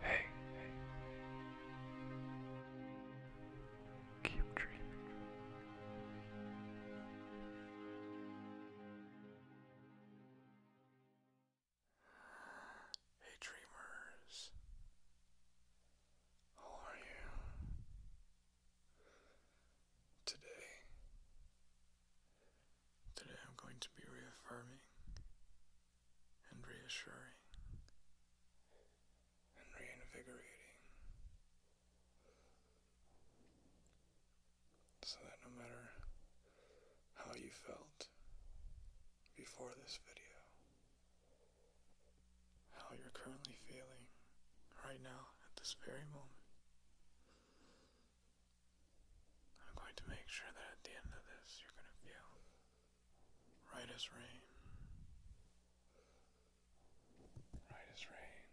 Hey, Keep dreaming. Hey, dreamers. How are you? Today, today I'm going to be reaffirming and reassuring and reinvigorating so that no matter how you felt before this video, how you're currently feeling right now at this very moment, I'm going to make sure that at the end of this you're going to feel right as rain. Right as rain.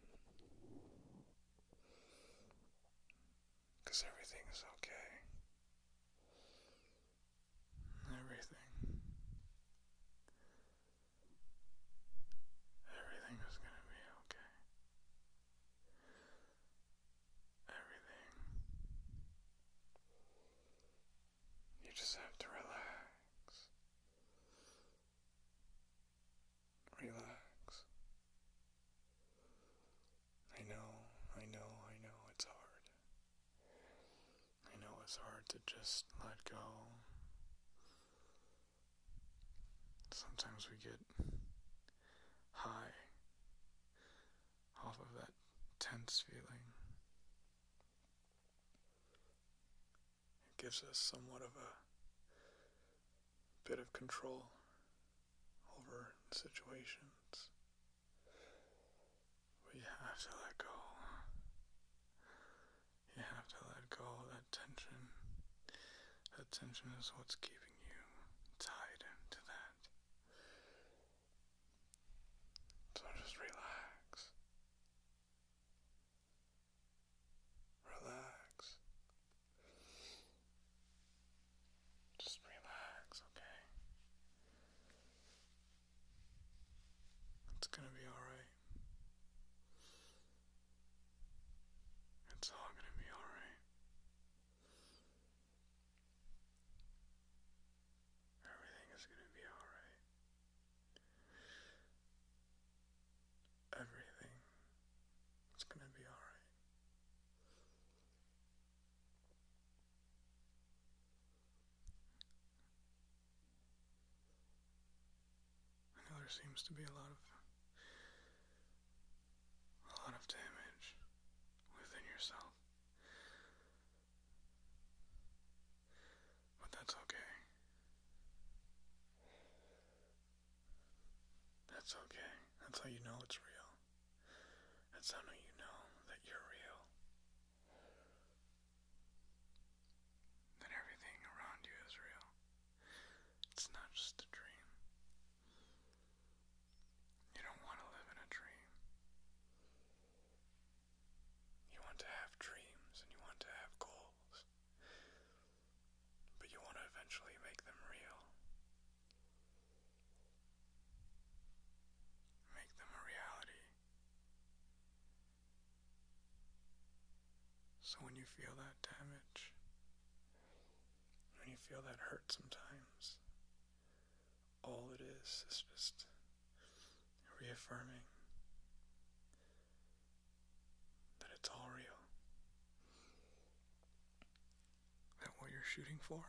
Because everything is okay. Everything. Everything is going to be okay everything. You just have to relax. Relax. I know, I know, I know it's hard. I know it's hard to just let go. Sometimes we get high off of that tense feeling. It gives us somewhat of a bit of control over situations. We have to let go. You have to let go that tension. That tension is what's keeping you tied into that. So just relax. Relax. Just relax, okay? It's gonna be alright. It's all gonna be alright. Everything is going to be alright. Everything is going to be alright. I know there seems to be a lot of a lot of damage within yourself. But that's okay. That's okay. That's how you know it's real. That's how you know that you're real. That everything around you is real. It's not just a dream. You don't want to live in a dream. You want to have dreams and you want to have goals. But you want to eventually make them real. Make them a reality. So when you feel that damage, when you feel that hurt sometimes, all it is is just reaffirming that it's all real. That what you're shooting for,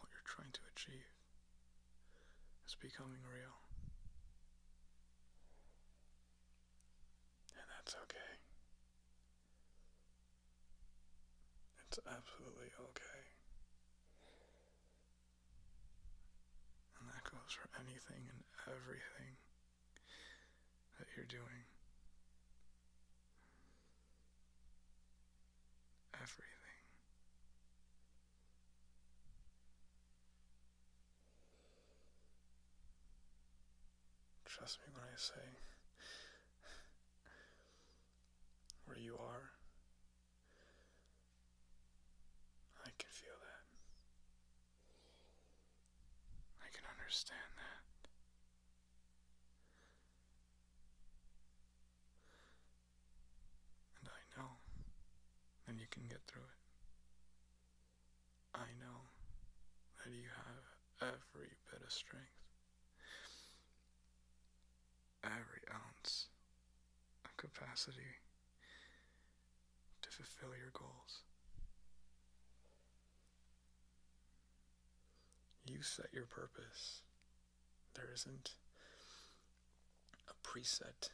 what you're trying to achieve, is becoming real. And that's okay. It's absolutely okay. And that goes for anything and everything that you're doing. Everything. Trust me when I say where you are. I can feel that. I can understand that. And I know that you can get through it. I know that you have every bit of strength every ounce of capacity to fulfill your goals. You set your purpose. There isn't a preset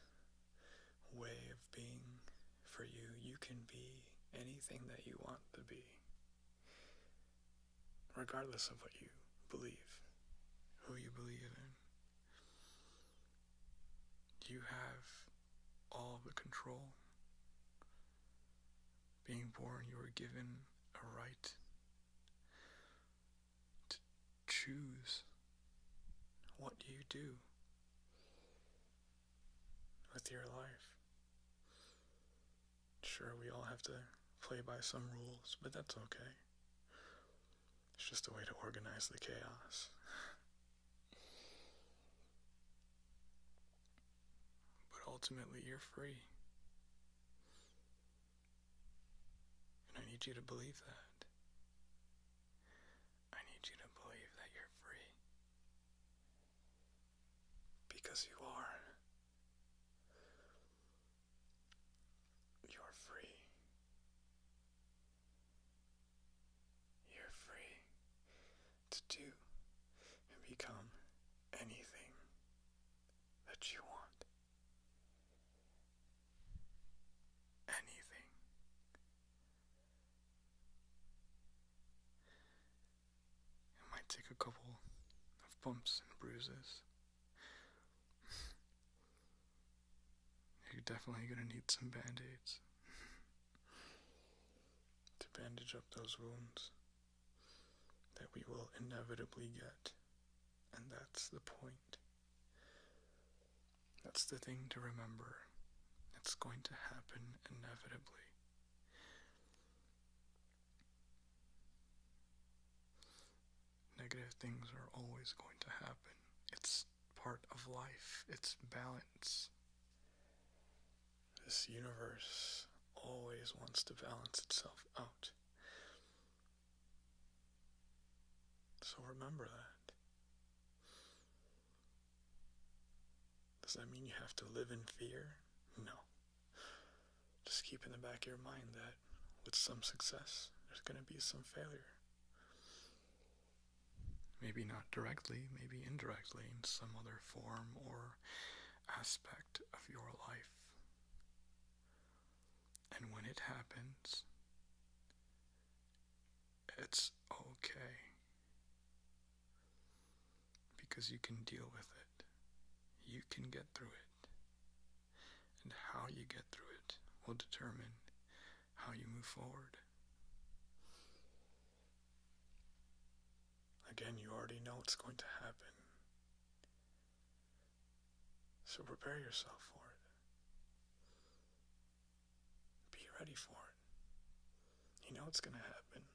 way of being for you. You can be anything that you want to be regardless of what you believe, who you believe in. You have all the control. Being born, you were given a right to choose what you do with your life. Sure, we all have to play by some rules, but that's okay. It's just a way to organize the chaos. but ultimately, you're free. And I need you to believe that. I need you to believe that you're free. Because you are. You're free. You're free to do and become anything that you want. Anything. It might take a couple of bumps and bruises. You're definitely gonna need some band aids to bandage up those wounds that we will inevitably get. And that's the point. That's the thing to remember. It's going to happen inevitably. Negative things are always going to happen. It's part of life, it's balance. This universe always wants to balance itself out. So remember that. Does that mean you have to live in fear? No. Just keep in the back of your mind that with some success, there's going to be some failure. Maybe not directly, maybe indirectly in some other form or aspect of your life. And when it happens, it's okay. Because you can deal with it, you can get through it. And how you get through it will determine how you move forward. Again, you already know it's going to happen. So prepare yourself for it. Be ready for it. You know it's going to happen.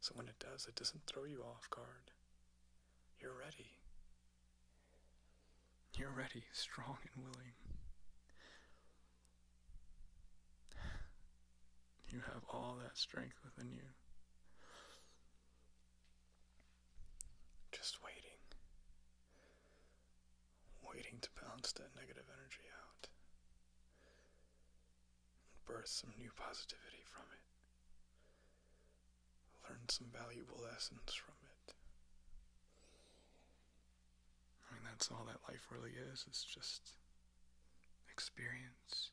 So when it does, it doesn't throw you off guard. You're ready. You're ready, strong and willing. You have all that strength within you. Just waiting. Waiting to balance that negative energy out. And birth some new positivity from it learn some valuable lessons from it. I mean, that's all that life really is, it's just experience.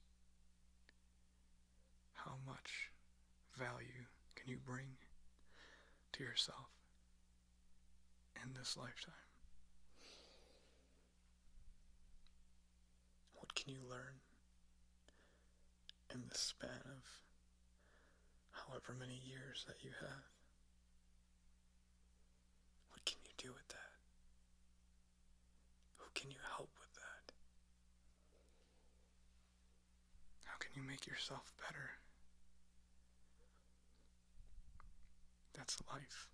How much value can you bring to yourself in this lifetime? What can you learn? in the span of however many years that you have. What can you do with that? Who can you help with that? How can you make yourself better? That's life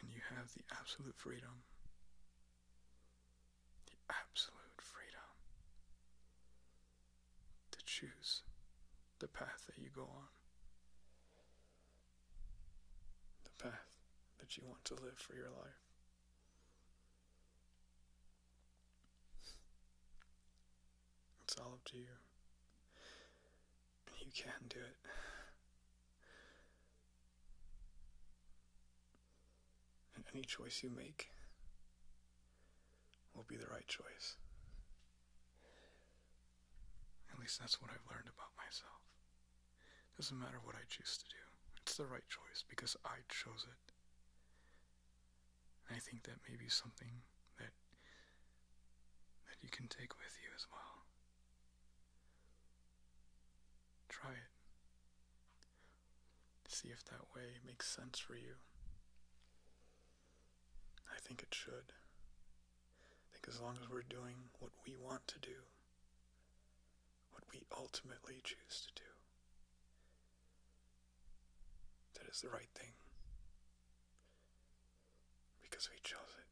and you have the absolute freedom, the absolute freedom to choose the path that you go on, the path that you want to live for your life. It's all up to you. You can do it. And any choice you make will be the right choice. At least that's what I've learned about myself. Doesn't matter what I choose to do, it's the right choice because I chose it. And I think that may be something that that you can take with you as well. Try it. See if that way makes sense for you. I think it should. I think as long as we're doing what we want to do, what we ultimately choose to do, that is the right thing. Because we chose it.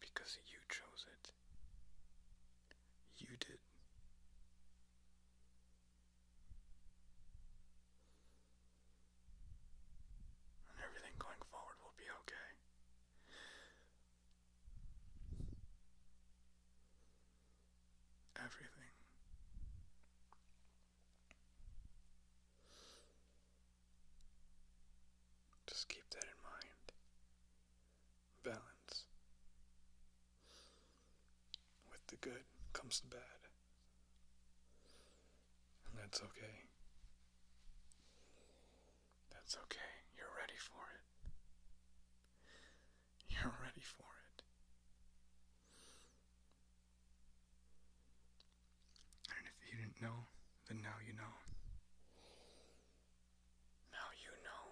Because you chose it. You did. And everything going forward will be okay. Everything. Just keep that in mind. Balance. With the good comes the bad. And that's okay. That's okay. You're ready for it. You're ready for it. And if you didn't know, then now you know. Now you know.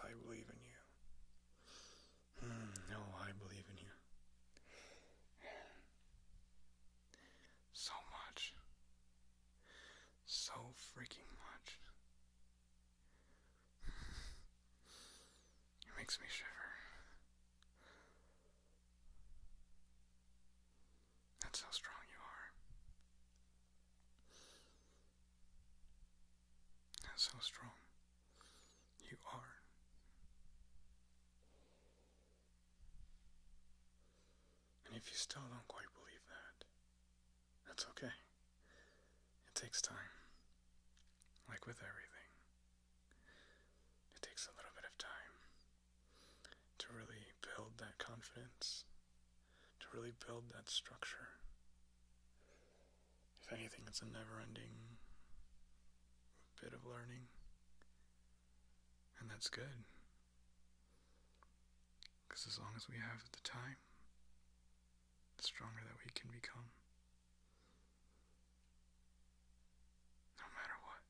I believe in you. Hmm, no, I believe in you. So much. So freaking much. It makes me shiver. That's how strong you are. That's how strong you are. And if you still don't quite believe that, that's okay. It takes time, like with everything. It takes a little bit of time to really build that confidence, to really build that structure. If anything, it's a never ending bit of learning, and that's good. Because as long as we have the time, the stronger that we can become. No matter what.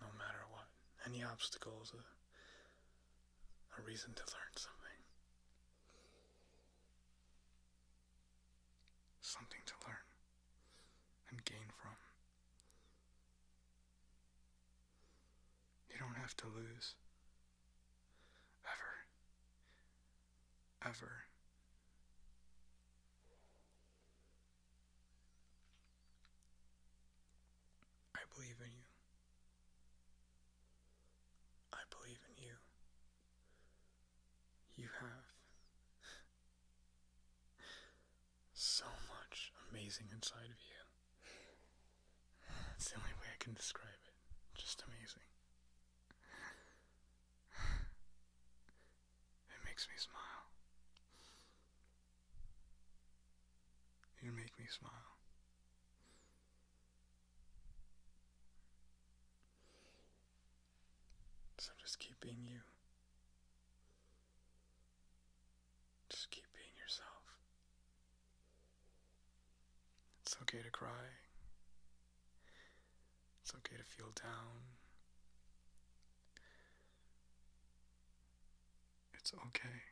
No matter what. Any obstacle is a, reason to learn something. Something to learn and gain from. You don't have to lose. Ever ever. I believe in you. I believe in you. You have so much amazing inside of you. That's the only way I can describe it. Just amazing. It makes me smile. You make me smile. So just keep being you. Just keep being yourself. It's okay to cry. It's okay to feel down. It's okay.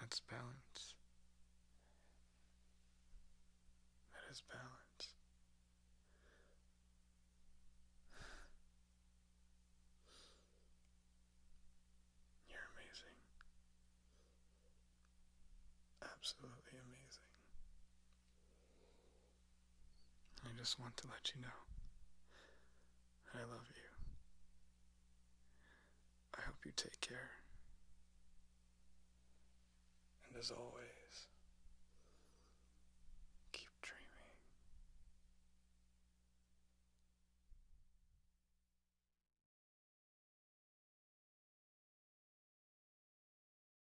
That's balance. That is balance. You're amazing. Absolutely amazing. I just want to let you know I love you. I hope you take care. And as always, keep dreaming.